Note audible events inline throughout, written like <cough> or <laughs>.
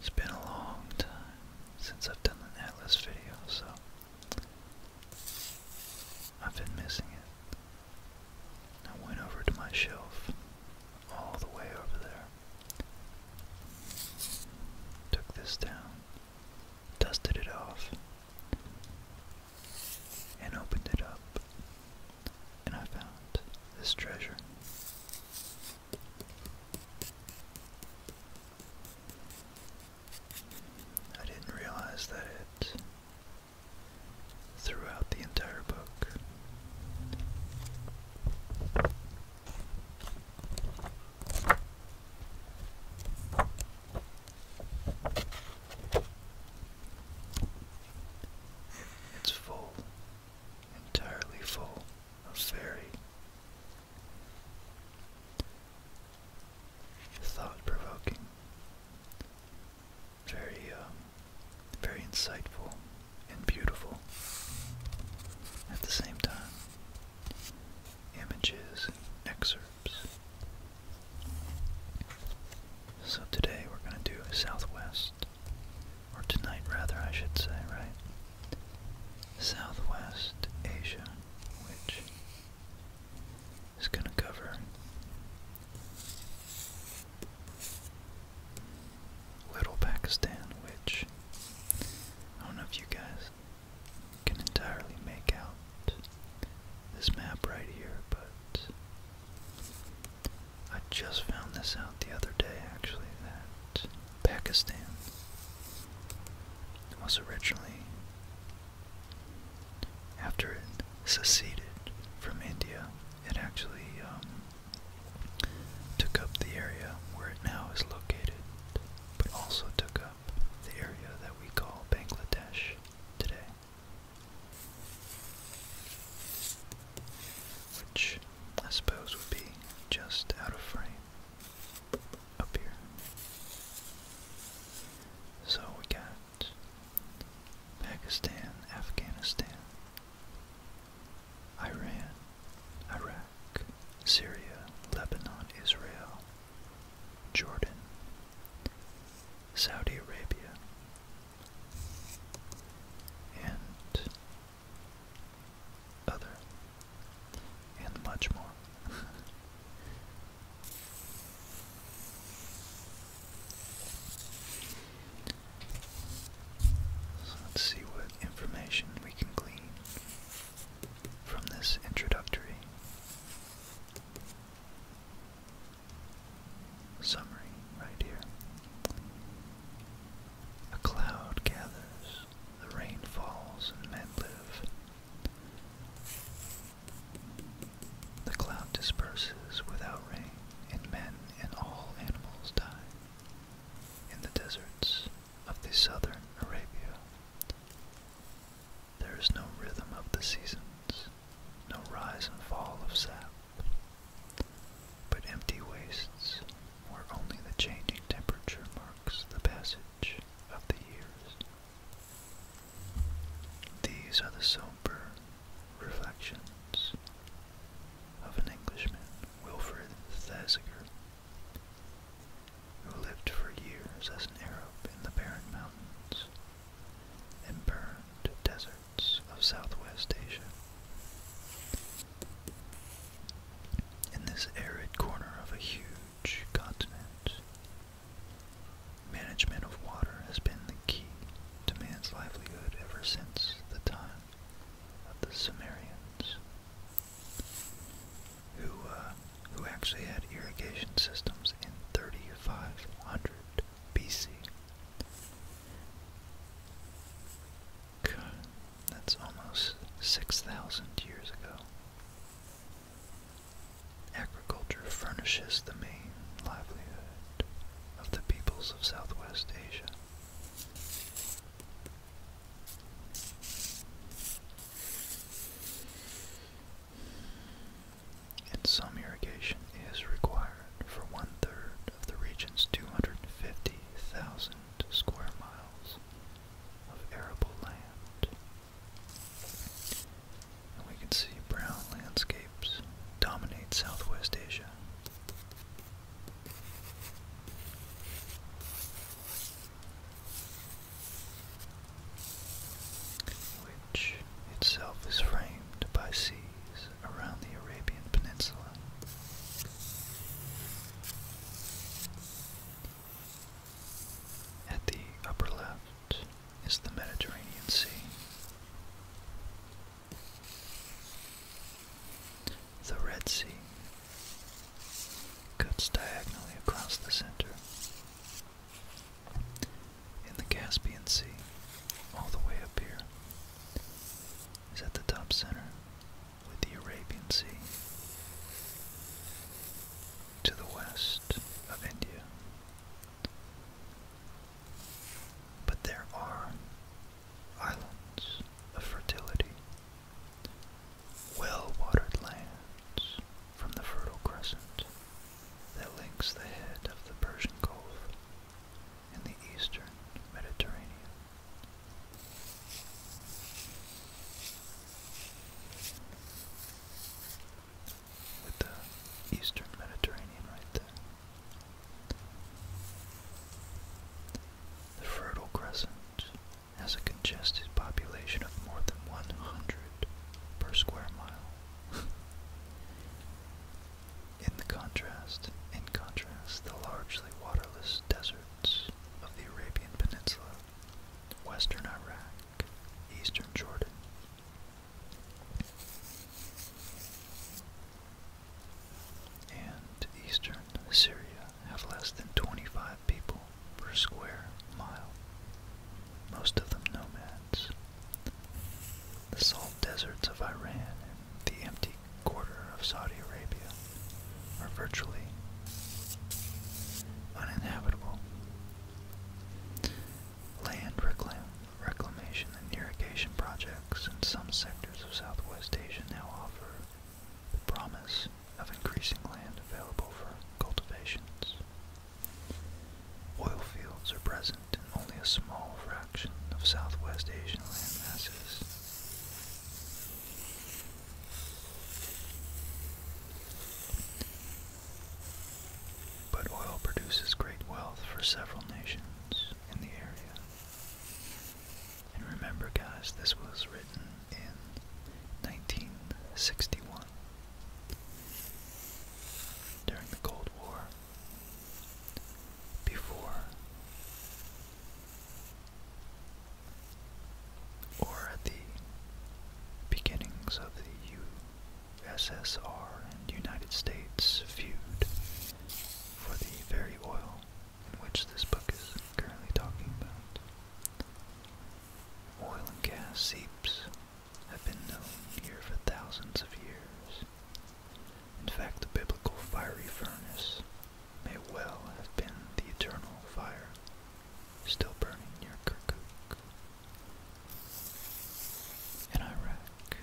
It's been a long time since I've done an Atlas video, so I've been missing it. I went over to my shelf all the way over there Took this down, dusted it off, and opened it up, and I found this treasure. I didn't realize that it, throughout the entire book, it's full, entirely full of fairy. Thought provoking, very, um, very insightful, and beautiful at the same time. Images excerpts. So today we're going to do Southwest, or tonight rather, I should say, right? Southwest Asia, which is going to cover Little Pakistan, which I don't know if you guys can entirely make out this map right here, but I just found this out the other day actually that Pakistan was originally, after it seceded from India, it actually um, took up the area where it now is located, but also took up the area that we call Bangladesh today. Which I suppose would be just out of frame up here. So we got Pakistan, Afghanistan, Iran, Iraq, Syria, Lebanon, Israel, Jordan, Saudi Arabia, and other, and much more. <laughs> So let's see what information we can glean from this introductory summary right here. A cloud gathers, the rain falls, and men live. The cloud disperses without rain, and men and all animals die. In the deserts, of the southern Arabia. There is no rhythm of the seasons, no rise and fall of sap, but empty wastes where only the changing temperature marks the passage of the years. These are the sober reflections of an Englishman, Wilfred Thesiger, who lived for years as an Arab in the barren mountains and burned deserts of southwest Asia. In this arid corner of a huge continent, management of water has been the key to man's livelihood ever since the time of the Sumerians who uh, who actually had irrigation systems in 3500 BC. God, that's almost 6,000 years ago. Agriculture furnishes the main livelihood of the peoples of Southwest Asia. And some irrigation is required for one third of the region's 250,000 square miles of arable land. we can see brown landscapes dominate Southwest Asia which itself is framed by seas around the Arabian Peninsula. At the upper left is the Mediterranean Sea. The Red Sea cuts diagonally across the center. In the Caspian Sea, all the way up here, is at the top center with the Arabian Sea to the west of India. But there are islands of fertility well-watered lands from the Fertile Crescent that links the head of the Persian Gulf in the eastern Mediterranean. With the eastern Mediterranean right there. The Fertile Crescent has a congested population of more than 100 per square mile. <laughs> in contrast, in contrast, the largely waterless deserts of the Arabian Peninsula, western Iraq, eastern Jordan, and eastern Syria have less than 25 people per square mile, most of them nomads. The salt deserts of Iran and the empty quarter of Saudi Arabia are virtually uninhabitable. Land reclamation and irrigation projects in some sectors of Southwest Asia now offer the promise of increasing land available for cultivations. Oil fields are present in only a small fraction of Southwest Asian land masses. But oil produces great wealth for several nations in the area. And remember, guys, this was written in 1961. During the Cold War, before or at the beginnings of the USSR and United States feud for the very oil in which this book is currently talking about. Oil and gas seeps have been known here for thousands of years. In fact, the biblical fiery furnace may well have been the eternal fire still burning near Kirkuk. In Iraq.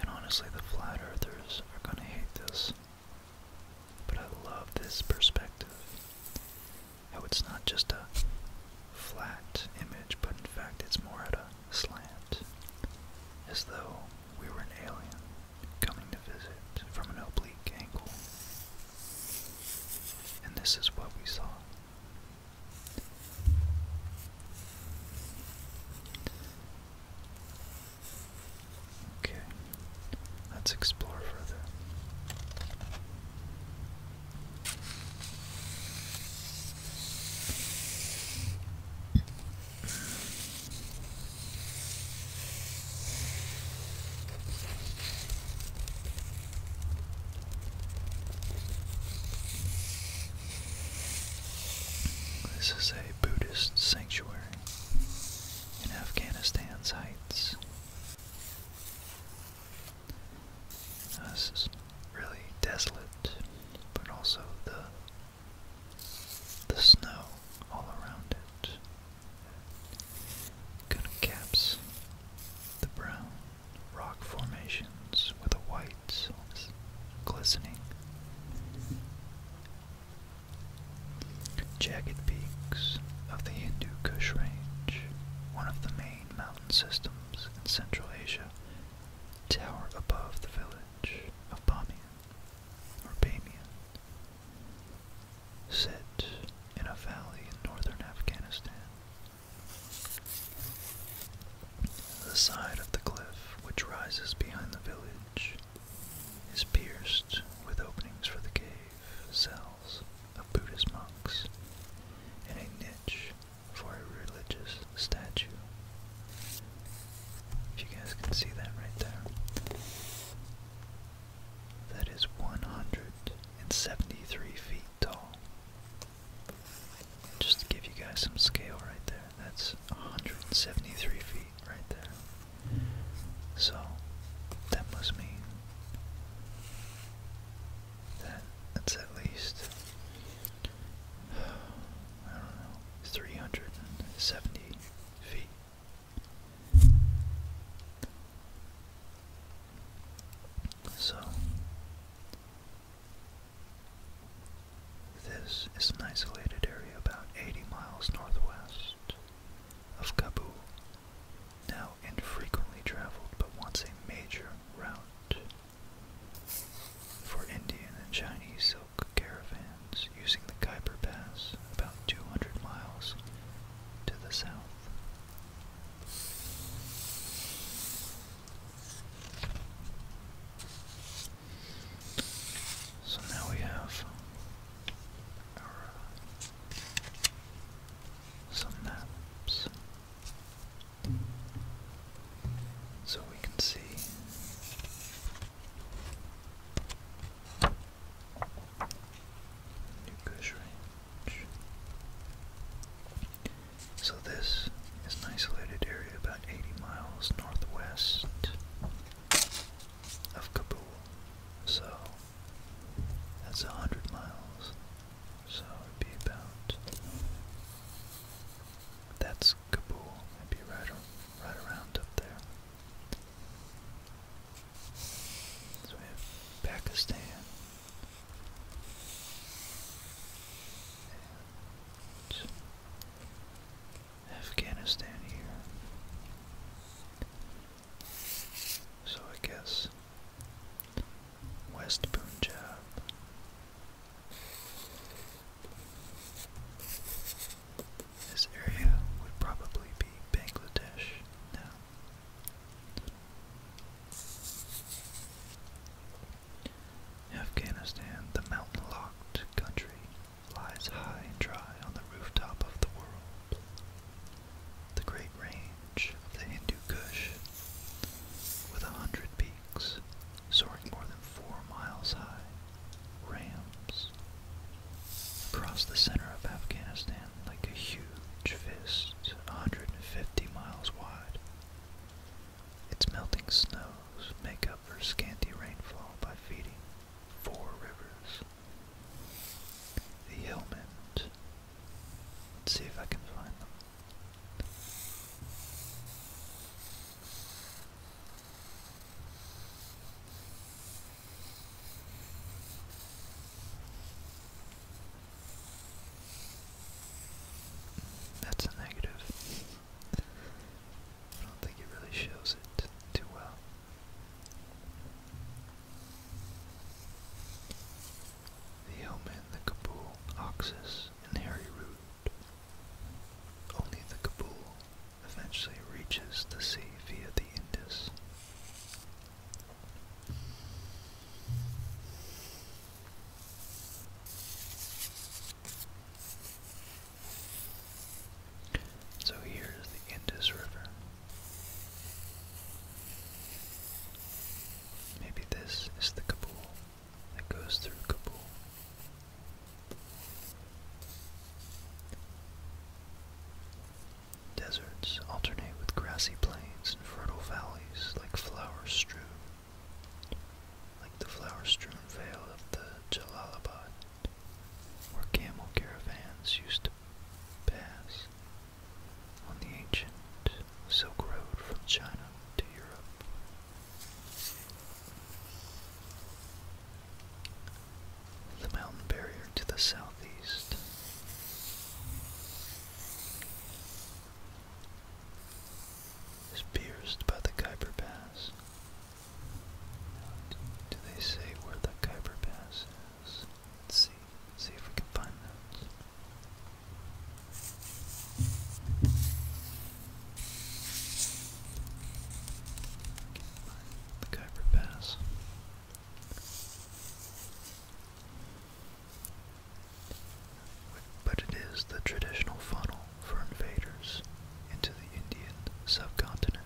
And honestly, the flat earthers are going to hate this. But I love this perspective. How it's not just a flat image, but in fact it's more at a slant. As though we were an alien coming to visit from an oblique angle. And this is what we saw. Okay, let's explore further. This is a Buddhist sanctuary in Afghanistan's heights. this is really desolate, but also the the snow all around it kind caps the brown rock formations with a white glistening Jagged peaks of the Hindu Kush Range, one of the main mountain systems in Central Asia, tower above the village of Bamiyan or Bamiyan. Set in a valley in northern Afghanistan. The side of the cliff, which rises behind the village, is pierced with openings for the cave cells of Buddhist monks and a niche for a religious statue. If you guys can see that right there. That is 173 feet tall. Just to give you guys some scale right there, that's 173 feet right there. So that must mean that that's at least <sighs> I don't know 370 feet. So this is an isolated area about 80 miles northwest of Kabul, now infrequently traveled but once a major route for Indian and Chinese silk caravans using the Khyber Pass about 200 miles to the south. So now we have some maps so we can see New So this is an isolated area about 80 miles northwest of Kabul. So that's a hundred miles. So it'd be about that's Kabul. it be right right around up there. So we have Pakistan. And Afghanistan here. So I guess West Punjab. This area would probably be Bangladesh now. Afghanistan, the mountain locked country lies high and dry on the rooftop of the world. The great range of the Hindu Kush, with a hundred peaks soaring more than four miles high, rams across the center of Afghanistan like a huge fist, 150 miles wide. Its melting snows make up for scanty rainfall by feeding four rivers the helmet. Let's see if I can find them. That's a negative. I don't think it really shows it too well. The Yeoman, the Kabul, Oxus, and Harry Root. Only the Kabul eventually reaches the sea via the Indus. So here's the Indus River. Maybe this is the Kabul that goes through Kabul. Deserts alternate with grassy plains and fertile valleys like flowers strewn, like the flower strewn vale of the Jalalabad where camel caravans used to pass on the ancient Silk Road from China to Europe. The mountain barrier to the southeast. Is pierced by the Khyber Pass. Do they say where the Khyber Pass Let's see. see if we can find those. The Kuiper Pass. But it is the traditional funnel for invaders into the Indian subcontinent.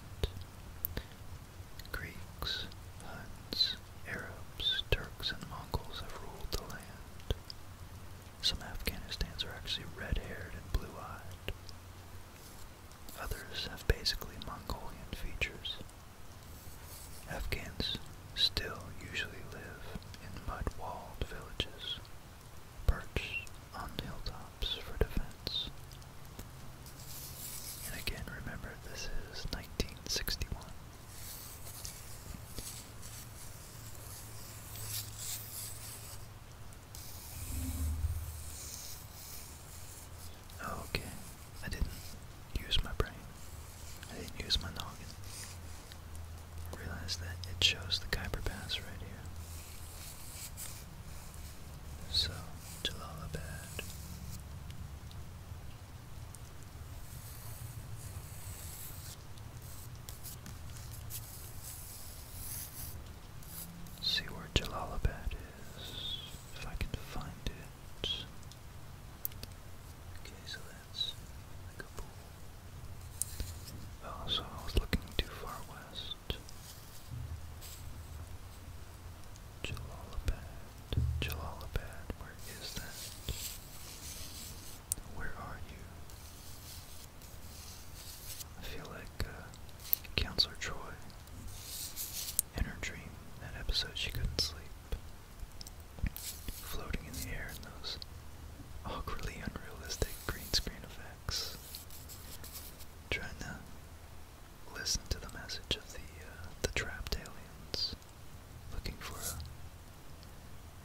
Greeks, Huns, Arabs, Turks, and Mongols have ruled the land. Some Afghanistans are actually red-haired and blue-eyed. Others have basically Mongolian features. Afghans still usually live in mud-walled villages, perched on hilltops for defense, and again, remember, this is 1961. okay, I didn't use my brain. I didn't use my noggin. Realize that it shows the Kuiper Pass right here. So, Jalalabad. See where Jalalabad is, if I can find it. Okay, so that's Kabul. Oh, so I was looking too far west. Jalalabad, Jalalabad, where is that? Where are you? I feel like uh, Counselor Troy, in her dream, that episode she couldn't sleep, floating in the air in those awkwardly unrealistic green screen effects, trying to listen to the message of the uh, the trapped aliens looking for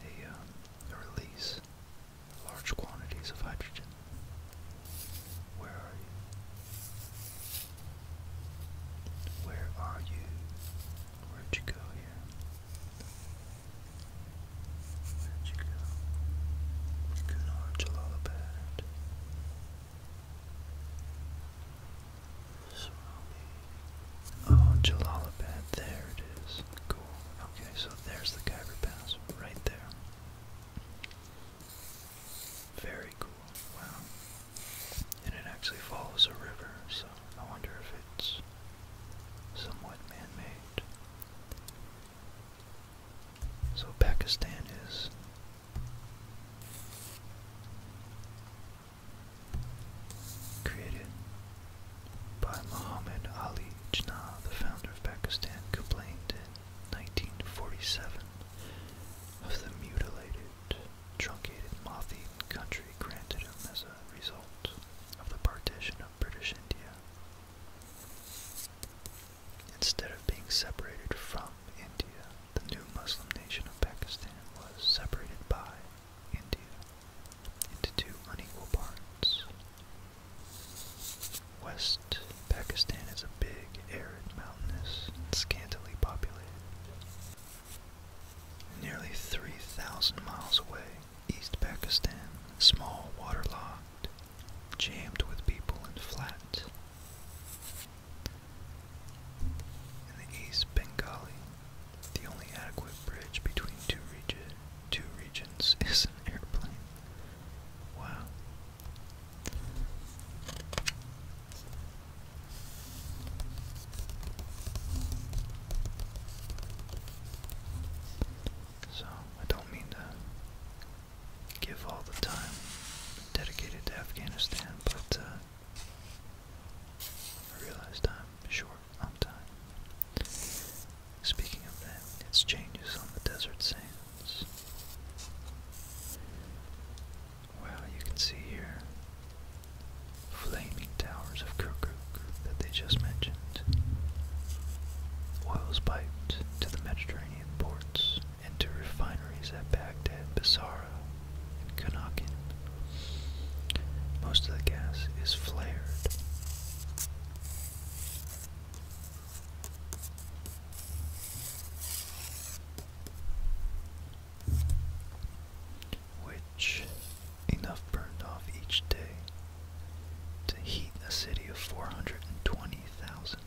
a um, a, release large quantities of hydrogen. Where are you? Where are you? Where'd you go here? Where'd you go? Kunar Jalalabad. Swami. Oh, Jalalabad. There it is. Cool. Okay, so there's the Khyber Pass right there. Very cool. Wow. And it actually follows a river, so I wonder if it's somewhat man-made. So Pakistan is Created by Muhammad Ali Jinnah, the founder of Pakistan, complained in 1947 of the mutilated, truncated Mathi country granted him as a result of the partition of British India. Instead of being separated from India, the new Muslim nation of Pakistan was separated by India into two unequal parts. West Pakistan is a big, arid, mountainous, and scantily populated. Nearly 3,000 miles away, East Pakistan, small, waterlogged, jammed with people and flat, in the East Bengali, the only adequate bridge between two, two regions <laughs> is an airplane. Wow. So, I don't mean to give all the time dedicated to Afghanistan, but uh, I realized I'm short on time. Speaking of that, it's changes on the desert sands. Well, you can see here flaming towers of Kirkuk that they just mentioned. Oil is to the Mediterranean ports and to refineries at Baghdad, Basra, and Kunakin. Most of the gas is flared. Which enough burned off each day to heat a city of 420,000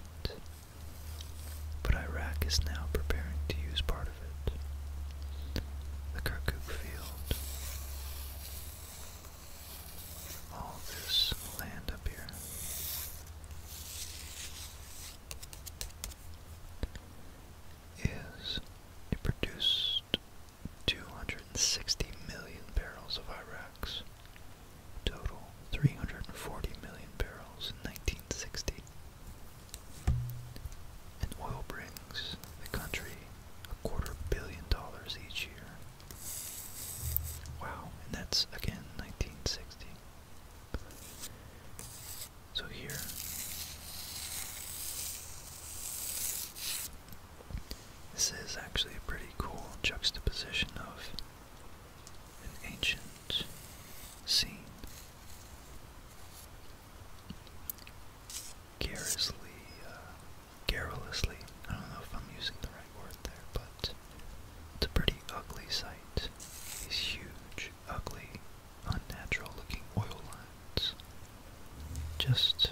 but Iraq is now preparing to use part of it. The Kirkuk Field. All this land up here. Is it produced 260 million barrels of Iraq's total 340 million barrels in 1960. And oil brings the country a quarter billion dollars each year. Wow, and that's again 1960. So here this is actually a pretty cool juxtaposition of an ancient scene Garrously, garrulously, uh, I don't know if I'm using the right word there, but it's a pretty ugly sight. These huge, ugly, unnatural looking oil lines. Just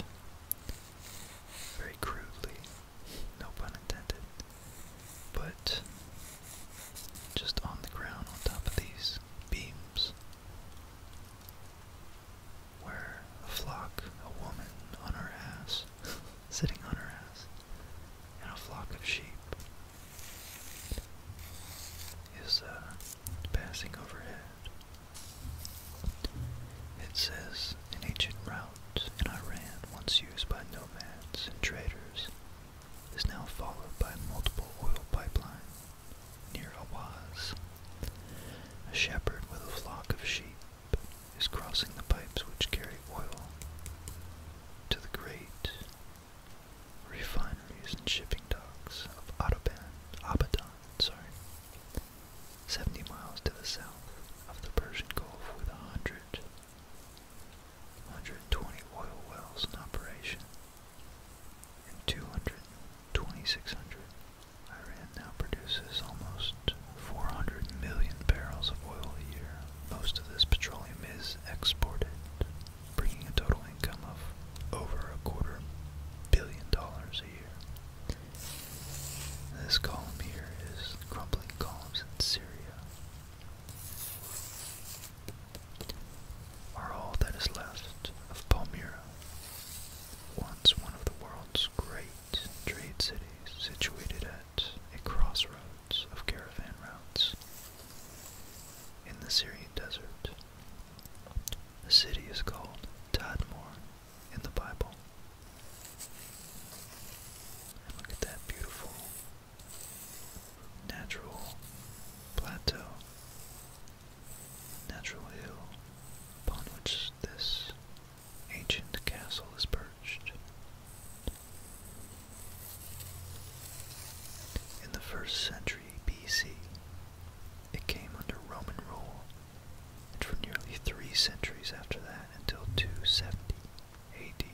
very crudely, no pun intended, but just on the ground on top of these beams, where a flock, a woman on her ass, <laughs> sitting on her ass, and a flock of sheep is uh, passing overhead. It says, an ancient route in Iran once used by nomads and traders is now followed by multiple oil pipelines near Awaz. A shepherd with a flock of sheep is crossing the pipes which carry oil to the great refineries and shipping docks of Adoban, Abadan, sorry, 70 miles to the south of the Persian Gulf with a hundred 120 oil wells in operation, and 200 2600. Iran now produces almost 400 million barrels of oil a year. Most of this petroleum is exported, bringing a total income of over a quarter billion dollars a year. This column here is crumbling columns in Syria are all that is left of Palmyra, once one of the world's great trade cities situated at a crossroads of caravan routes in the Syrian desert. The city is called Tadmor in the Bible. look at that beautiful natural plateau, natural hill upon which this ancient castle is perched. In the first century BC, it came under Roman rule, and for nearly three centuries after that until 270 AD,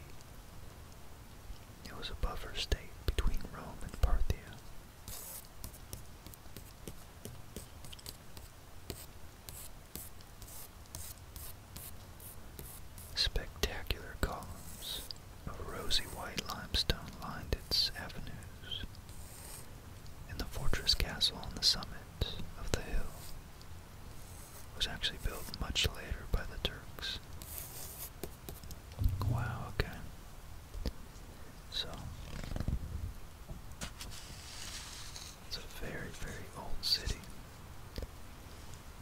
it was a buffer state between Rome and Parthia. Spectacular columns of rosy white limestone lined its avenues, and the fortress castle on the summit of the hill was actually built much later by the Turks. Wow, okay. So it's a very, very old city.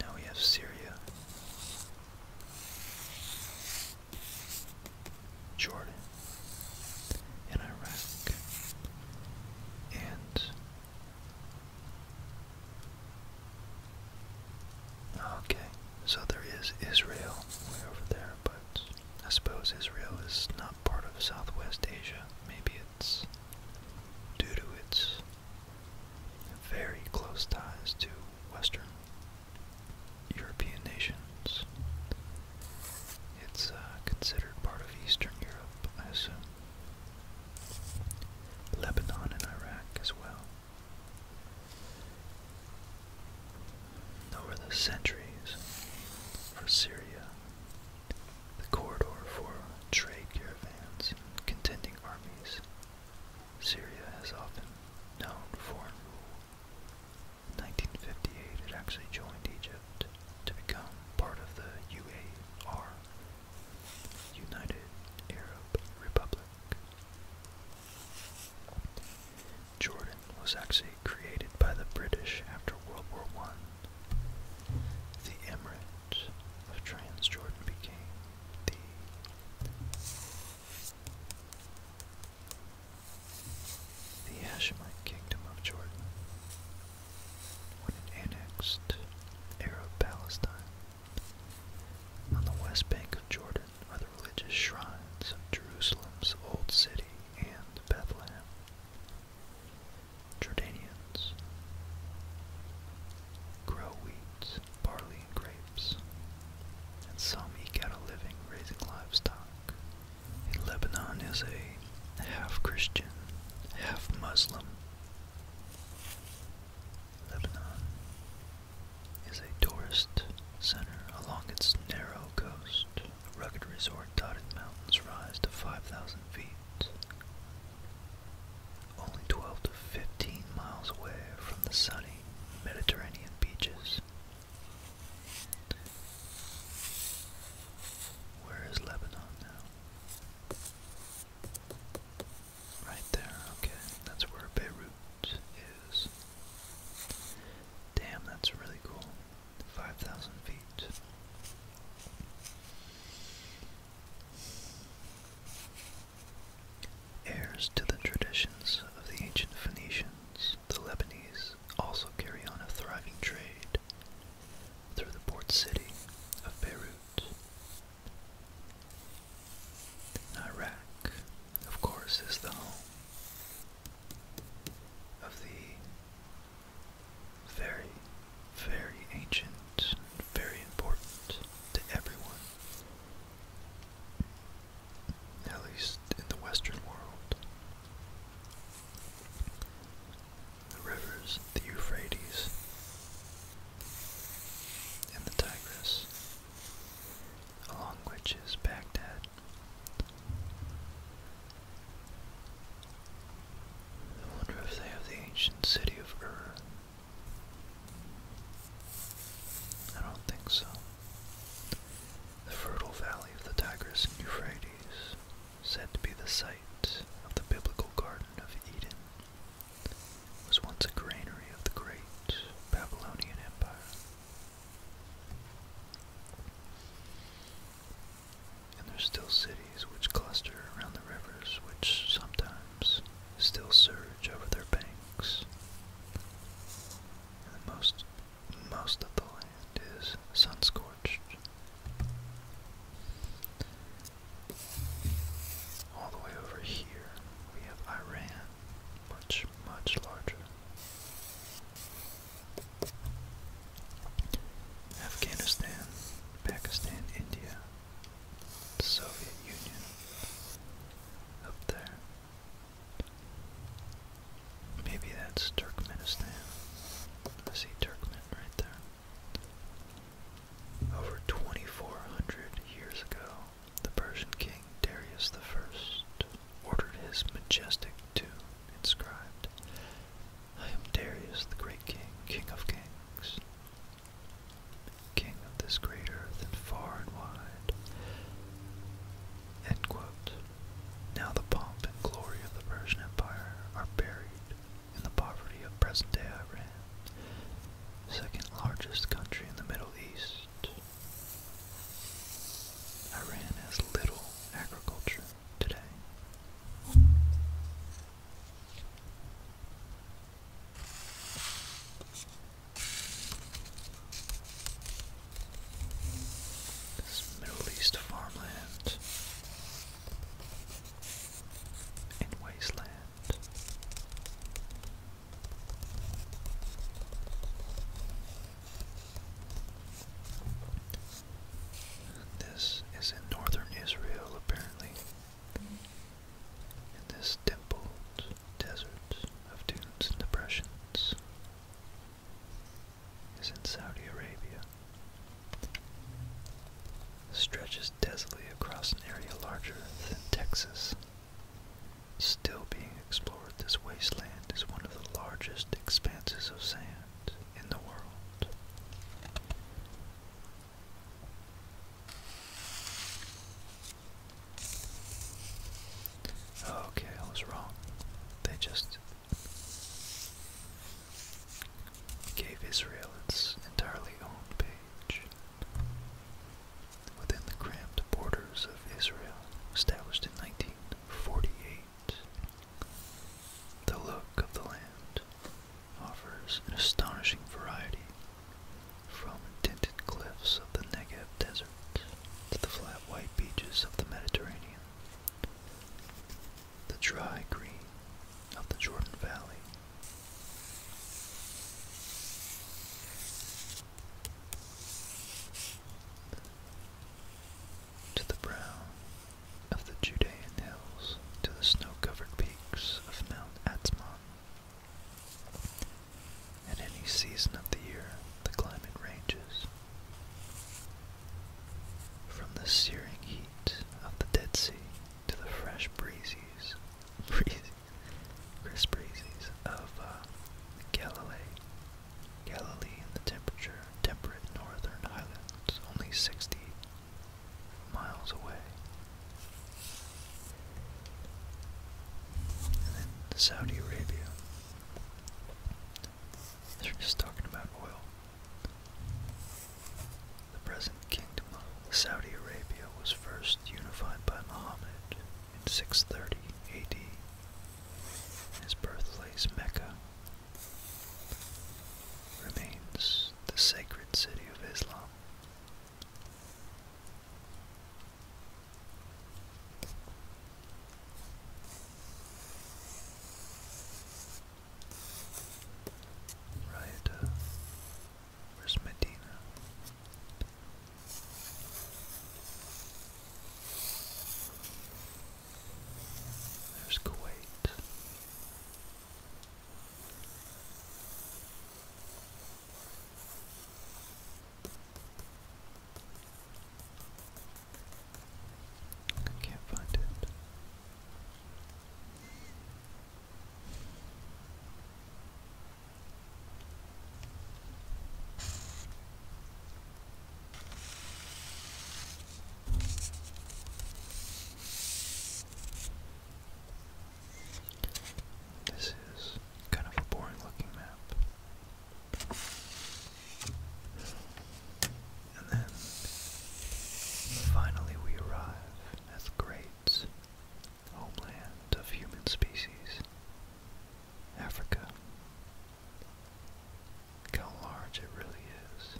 Now we have Syria, Jordan, and Iraq, and Okay, so there is Israel way over there, but I suppose Israel is not part of Southwest Asia. Maybe it's due to its very close ties to Western European nations. It's uh, considered part of Eastern Europe, I assume. Lebanon and Iraq as well. Over the centuries for Syria, the corridor for trade caravans and contending armies, Syria has often known foreign rule. In 1958, it actually joined Egypt to become part of the UAR, United Arab Republic. Jordan was actually created by the British after World War I. The Emirate of Transjordan became the the Hashemite Kingdom of Jordan when it annexed Arab Palestine. On the west bank of Jordan, are the religious shrines of Jerusalem's Old City and Bethlehem. Jordanians grow wheat, barley, and grapes, and some eke out a living raising livestock. In Lebanon is a half Christian, half Muslim. Lebanon is a tourist center along its narrow coast. A rugged resort dotted mountains rise to 5,000 feet. Only 12 to 15 miles away from the sunny Mediterranean beaches. Where is Lebanon now? Right there, okay. That's where Beirut Damn, that's really cool. 5,000 feet. Heirs to the traditions of the ancient Phoenicians, the Lebanese also carry on a thriving trade through the port city of Beirut. Iraq, of course, is the home of the very, very ancient, very important to everyone, at least in the Western world. The rivers, the Euphrates and the Tigris along which is Baghdad. I wonder if they have the ancient city of Ur. I don't think so. The fertile valley of the Tigris and Euphrates, said to be the site of the biblical Garden of Eden, was once a granary of the great Babylonian Empire. And there's still cities which cluster around the rivers, which sometimes still surge over their banks. And the most, most of the land is sun-scorched. All the way over here, we have Iran, much, much larger. Afghanistan, Pakistan, India, Soviet Union, up there. Maybe that's Turkmenistan. I see Turkmen right there. Over 2,400 years ago, the Persian king Darius the First ordered his majestic tomb inscribed, I am Darius the Great King, King of Kings, King of this great earth and far and wide. Now the pomp and glory of the Persian Empire are buried in the poverty of present-day Iran, second largest country in the Middle East, Iran has little agriculture today. This Middle East farmland and wasteland this is in northern Israel, apparently, in this dimpled desert of dunes and depressions, is in Saudi Arabia. Stretches desolately across an area larger than Texas. Still being explored, this wasteland is one of the largest expanses of sand in the world. Okay, I was wrong. They just gave Israel its entirely own page within the cramped borders of Israel, established in 1948. The look of the land offers an astonishing variety from tinted cliffs of the Negev desert to the flat white beaches of the Mediterranean. The dry green of the Jordan Valley. To the brow of the Judean hills, to the snow-covered peaks of Mount Atzmon. At any season of the year, the climate ranges. From the searing heat of the Dead Sea to the fresh breezes, <laughs> crisp breezes of uh, Galilee, Galilee in the temperature temperate northern highlands, only 60 miles away. And then Saudi Arabia. They're just talking about oil. The present kingdom of Saudi Arabia was first unified by Muhammad in 630 AD his birthplace Mecca, remains the sacred city of Islam. Right, uh, there's Kuwait. I can't find it. This is kind of a boring looking map. And then finally we arrive at the great homeland of human species. Africa. how large it really is.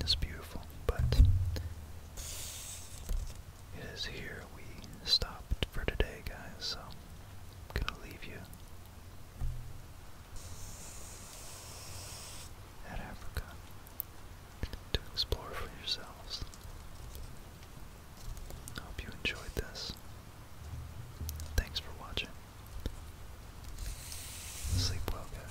It's beautiful, but it is here we stopped for today, guys, so I'm gonna leave you at Africa to explore for yourselves. I hope you enjoyed this. Thanks for watching. Sleep well, guys.